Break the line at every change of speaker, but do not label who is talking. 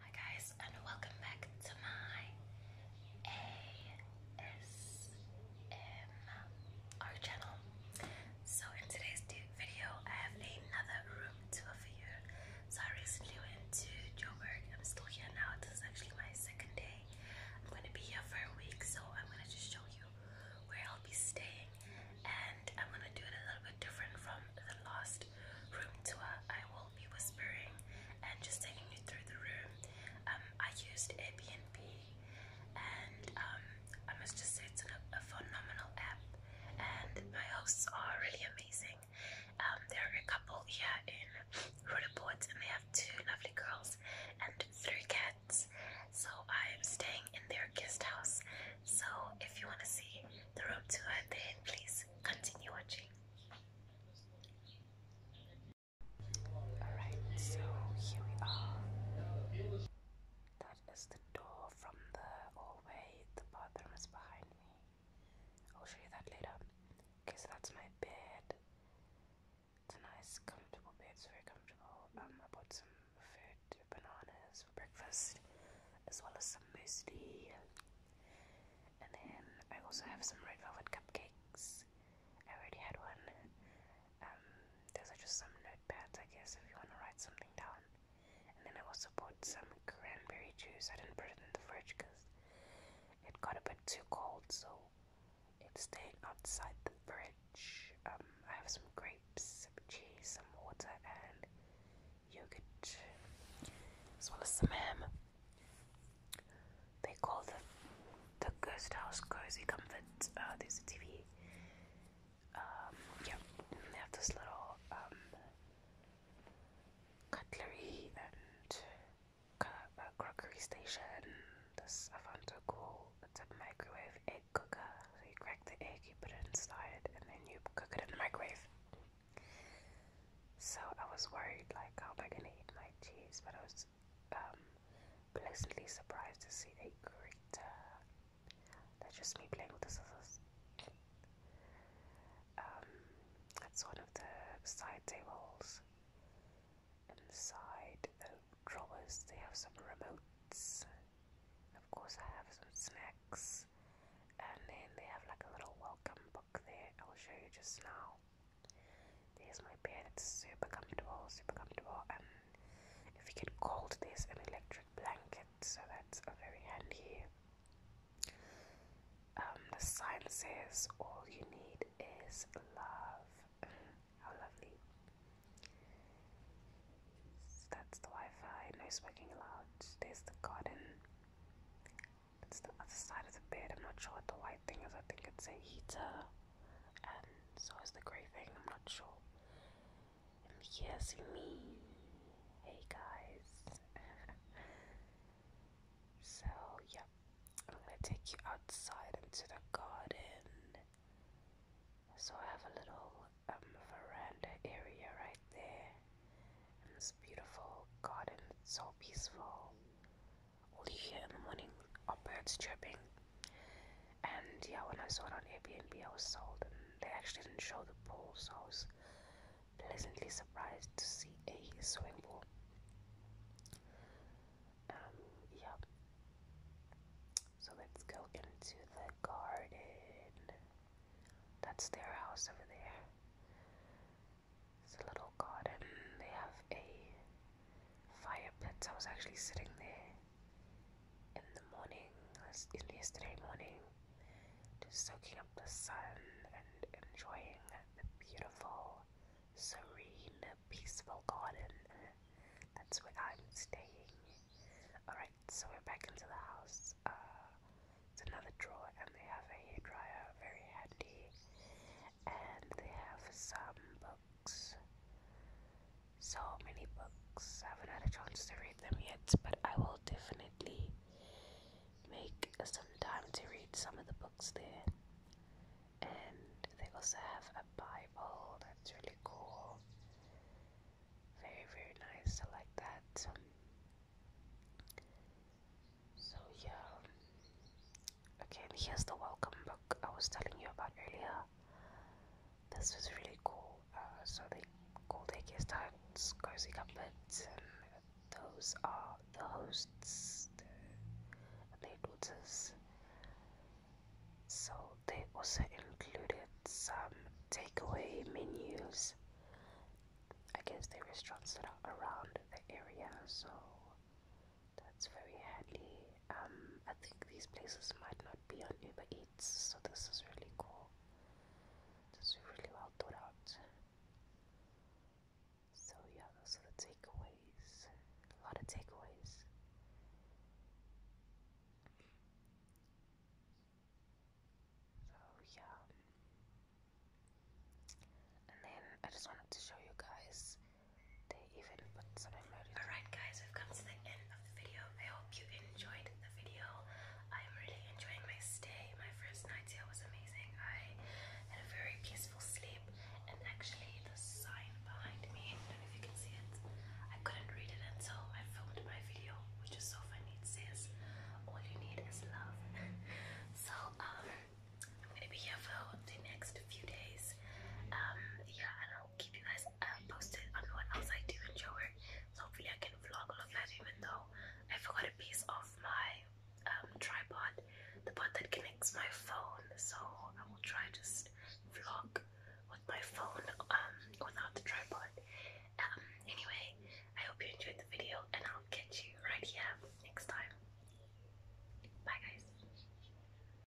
Hi guys and welcome back to my ASMR channel. So in today's video I have another room tour for you. So I recently went to Joburg. I'm still here now. This is actually my second day. I'm going to be here for a week so I'm going to just show you where I'll be staying and I'm gonna do it a little bit different from the last room tour. I will be whispering and just taking you through the room. Um, I used Airbnb, and um, I must just say it's a, phenomenal app, and my hosts are really amazing. Um, there are a couple here in Rudaport, and they have two lovely girls and three cats. So I'm staying in their guest house so if you want to see the room tour, then please continue watching.
Alright, so here we are. That is the door from the hallway. The bathroom is behind me. I'll show you that later. Okay, so that's my bed. It's a nice, comfortable bed. It's very comfortable. Um, I bought some food bananas for breakfast, as well as some muesli. And then I also have some red velvet cupcakes. I already had one. Um, There's just some notepads, I guess, if you want to write something down. And then I also bought some cranberry juice. I didn't put it in the fridge because it got a bit too cold, so it's staying outside the fridge. Um, I have some grapes, some cheese, some water, and yogurt, as well as some ham. They call the the ghost house cozy comfort. Uh, there's a TV. Um, yeah, they have this little um, cutlery and uh, crockery station this Avanto Cool. It's a microwave egg cooker. So you crack the egg, you put it inside, and then you cook it in the microwave. So I was worried, like, how am I gonna eat my cheese? But I was um, pleasantly surprised to see a grater. That's just me playing with the scissors. Um, that's one of the side tables inside the drawers, they have some remotes. Of course, I have some snacks, and then they have like a little welcome book there. I will show you just now. There's my bed, it's super comfortable, super comfortable. And if you get cold, there's an electric blanket, so that's uh, very handy. Um, the sign says all you need is love. How lovely. that's the Wi-Fi, no smoking allowed. There's the garden. It's the other side of the bed. I'm not sure what the white thing is. I think it's a heater. And so is the grey thing. I'm not sure. And here's me. Hey guys. so, yep. I'm gonna take you outside into the garden. So I have a little um, veranda area right there, and this beautiful garden. It's so peaceful. All you hear in the morning are birds chirping. And yeah, when I saw it on Airbnb, I was sold, and they actually didn't show the pool, so I was pleasantly surprised to see a swimming pool. Um, yeah. So let's go into the garden. That's their house over there. It's a little garden. They have a fire pit. I was actually sitting there in the morning, in yesterday morning, to soaking up the sun and enjoying the beautiful, serene, peaceful garden. That's where I'm staying. Alright, so we're back into the house. Uh, it's another drawer, and they have a dryer, very handy. And they have some books. So many books. I haven't had a chance to read them yet, but I will definitely make some time to read some of the books there. And they also have a Bible that's really cool. Very, very nice. I like that. So, yeah. Okay, and here's the welcome book I was telling you about earlier. This was really cool. Uh, so they cool daycare stands, cozy comforts, and those are the hosts, the, their daughters. So they also included some takeaway menus. I guess the restaurants that are around the area,
so that's very handy. Um, I think these places might not
be on Uber Eats, so this is really cool. It's really well thought out. So yeah, those are the takeaways. A lot of takeaways. So yeah.
And then I just wanted to show you guys they even put some Alright guys, we've come to the end of the video. I hope you enjoyed the video. I'm really enjoying my stay. My first night here was amazing. I had a very peaceful sleep and actually the sign behind me, I don't know if you can see it, I couldn't read it until I filmed my video, which is so funny. It says, all you need is love. so, um, I'm gonna be here for the next few days. Um, yeah, i keep you guys um, posted on what else I do in hopefully I can vlog all of even though I forgot a piece of my um, tripod, the part that connects my phone. So I will try to vlog with my phone um, without the tripod. anyway, I hope you enjoyed the video and I'll catch you right here next time. Bye guys.